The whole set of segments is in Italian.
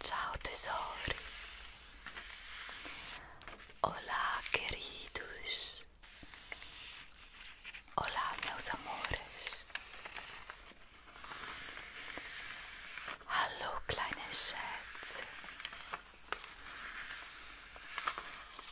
Ciao tesori. Olá, queridos. Olá, meus amores. Hello, little Schätze.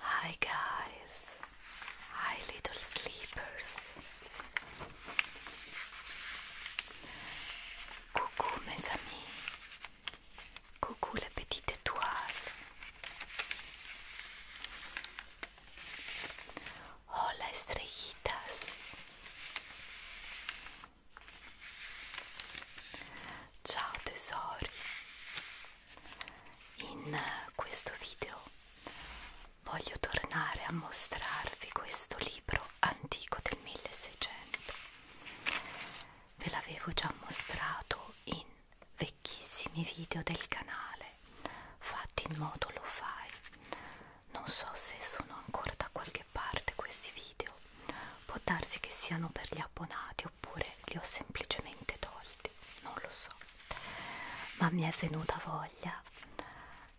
Hi guys. Hi little sleepers. Coucou mes amis. Coucou la petite étoile. Hola estrellitas. Ciao tesori, in questo video voglio tornare a mostrarvi questo libro antico del 1600. Ve l'avevo già mostrato in vecchissimi video del canale fatti in modo lo fai non so se sono ancora da qualche parte questi video può darsi che siano per gli abbonati oppure li ho semplicemente tolti non lo so ma mi è venuta voglia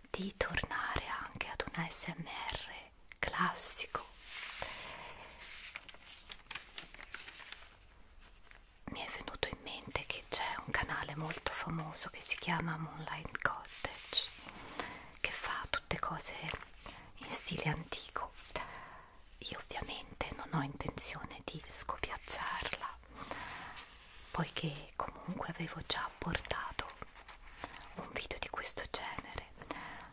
di tornare anche ad un ASMR classico mi è venuto in mente che c'è un canale molto famoso che si chiama Moonlight Cottage che fa tutte cose in stile antico io ovviamente non ho intenzione di scopiazzarla poiché comunque avevo già portato un video di questo genere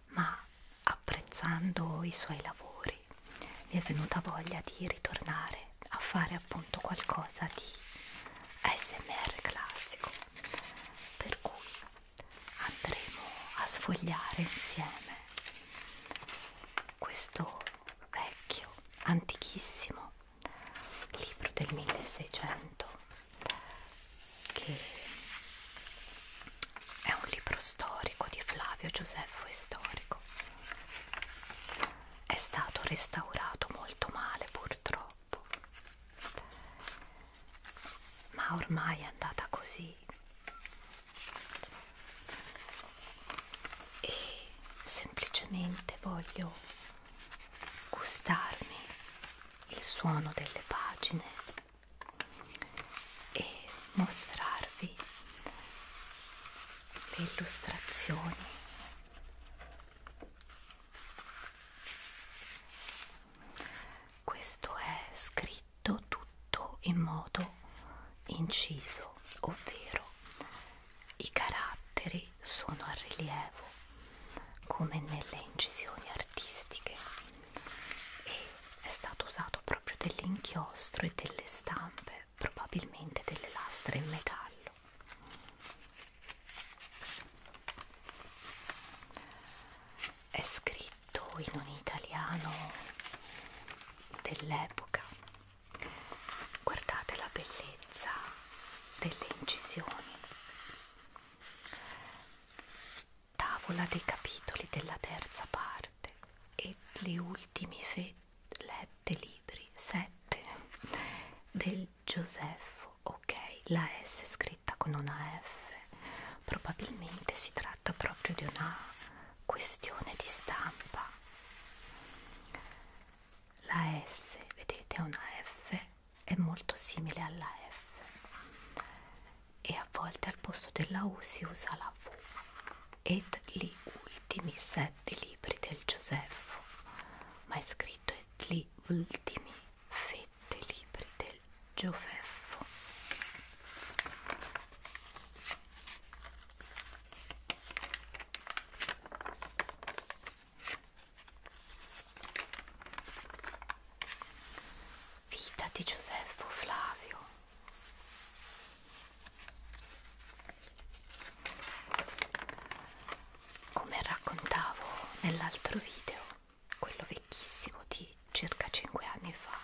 ma apprezzando i suoi lavori mi è venuta voglia di ritornare a fare appunto qualcosa di ASMR classico per cui andremo a sfogliare insieme questo vecchio antichissimo libro del 1600 che è un libro storico di Flavio Giuseppo Istorico è stato restaurato molto male purtroppo troppo ma ormai è andata così e semplicemente voglio gustarmi il suono delle pagine e mostrarvi le illustrazioni questo è scritto tutto in modo inciso, ovvero i caratteri sono a rilievo come nelle incisioni artistiche e è stato usato proprio dell'inchiostro e delle stampe probabilmente delle lastre in metallo è scritto in un italiano dell'epoca guardate la bellezza delle incisioni tavola dei capitoli della terza parte e le ultime fette lette libri, sette, del Giuseppo, ok, la S scritta con una F, probabilmente si tratta proprio di una questione di stampa. La S, vedete, è una F, è molto simile alla F e a volte al posto della U si usa la V ed gli ultimi sette sette libri del Giuseffo, ma è scritto gli ultimi fette libri del Gioveffo. Vita di Giuseffo Flavio come raccontavo nell'altro video, quello vecchissimo di circa 5 anni fa,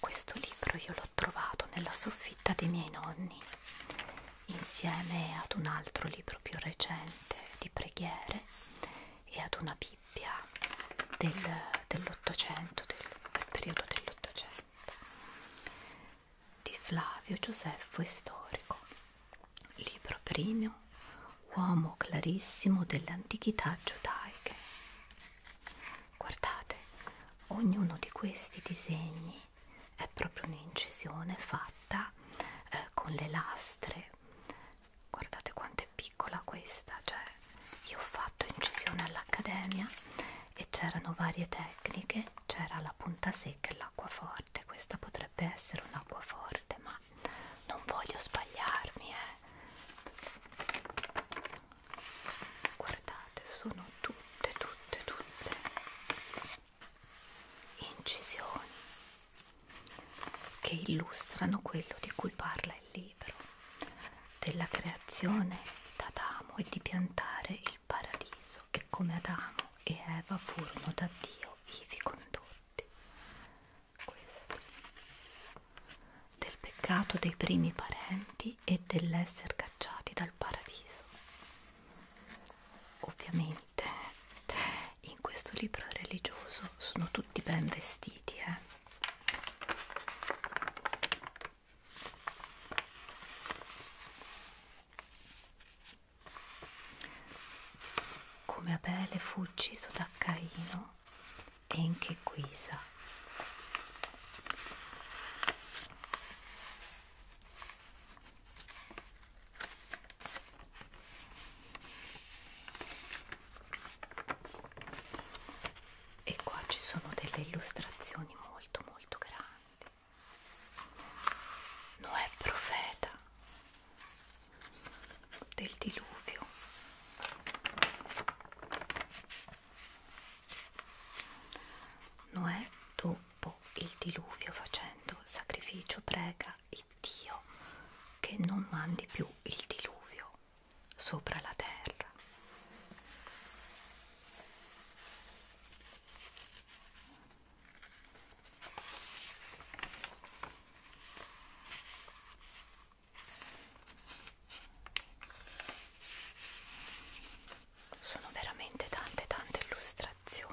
questo libro io l'ho trovato nella soffitta dei miei nonni insieme ad un altro libro più recente di preghiere e ad una Bibbia del, dell'Ottocento, del, del periodo dell'Ottocento di Flavio Giuseffo Istorico, libro primo, uomo clarissimo delle antichità giudaiche. Guardate, ognuno di questi disegni è proprio un'incisione fatta eh, con le lastre. Guardate quanto è piccola questa, cioè io ho fatto incisione all'accademia e c'erano varie tecniche, c'era la punta secca e l'acqua forte, questa potrebbe essere un'acqua forte, ma non voglio sbagliarmi, eh. Guardate, sono tutte, tutte, tutte incisioni che illustrano quello di cui parla il libro libro della creazione d'Adamo e di piantare il paradiso e come Adamo e Eva furono da Dio ivi condotti. Questo. Del peccato dei primi parenti e dell'essere cacciati dal paradiso. Ovviamente in questo libro religioso sono tutti ben vestiti, eh? Come Abele fu ucciso da Caino e in che guisa? e qua ci sono delle illustrazioni molto molto grandi Noè profeta del diluvio Noè dopo il diluvio facendo sacrificio prega il Dio che non mandi più il diluvio sopra la terra. Sono veramente tante tante illustrazioni.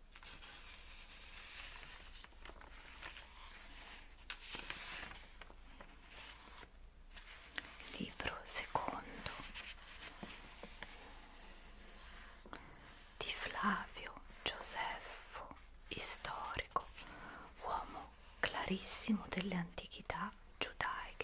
Libro secondo di Flavio Gioseffo, storico, uomo clarissimo delle antichità giudaiche.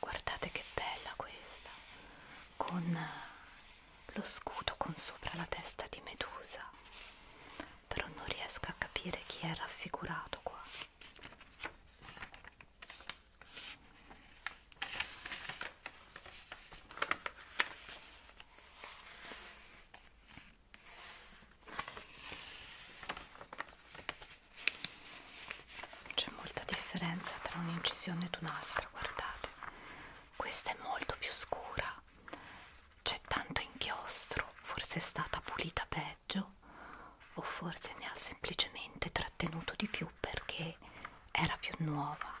guardate che bella questa con eh, lo scudo con sopra la testa di Medusa però non riesco a capire chi è raffigurato qua c'è molta differenza tra un'incisione ed un'altra, guardate. Questa è molto più scura, c'è tanto inchiostro, forse è stata pulita peggio o forse ne ha semplicemente trattenuto di più perché era più nuova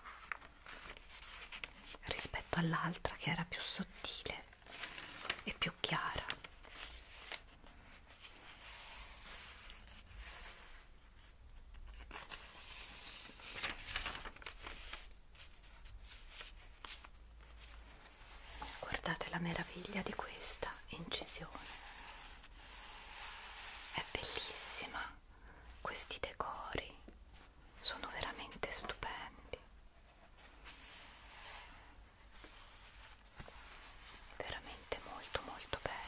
rispetto all'altra che era più sottile e più chiara guardate la meraviglia di questa incisione è bellissima questi decori sono veramente stupendi veramente molto molto belli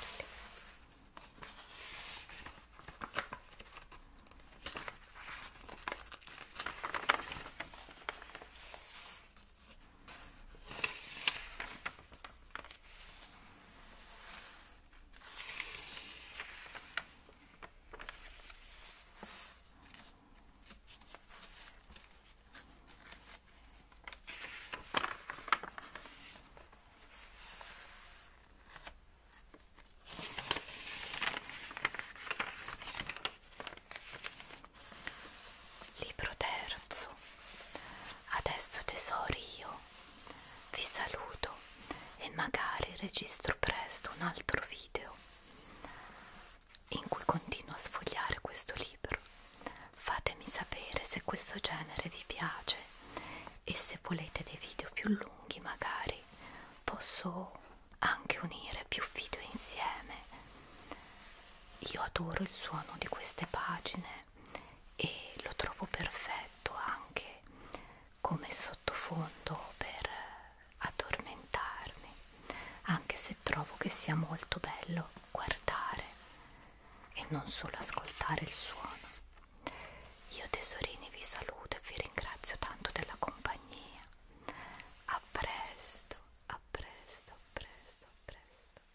Libro terzo. Adesso tesori io vi saluto e magari registro presto un altro video in cui continuo a sfogliare questo libro. Fatemi sapere se questo genere vi piace e se volete dei video più lunghi magari posso anche unire più video insieme. Io adoro il suono di queste pagine e lo trovo perfetto anche come sottofondo per addormentarmi, anche se trovo che sia molto bello guardare e non solo ascoltare il suono. Io tesorini vi saluto e vi ringrazio tanto della compagnia. A presto, a presto, a presto, a presto.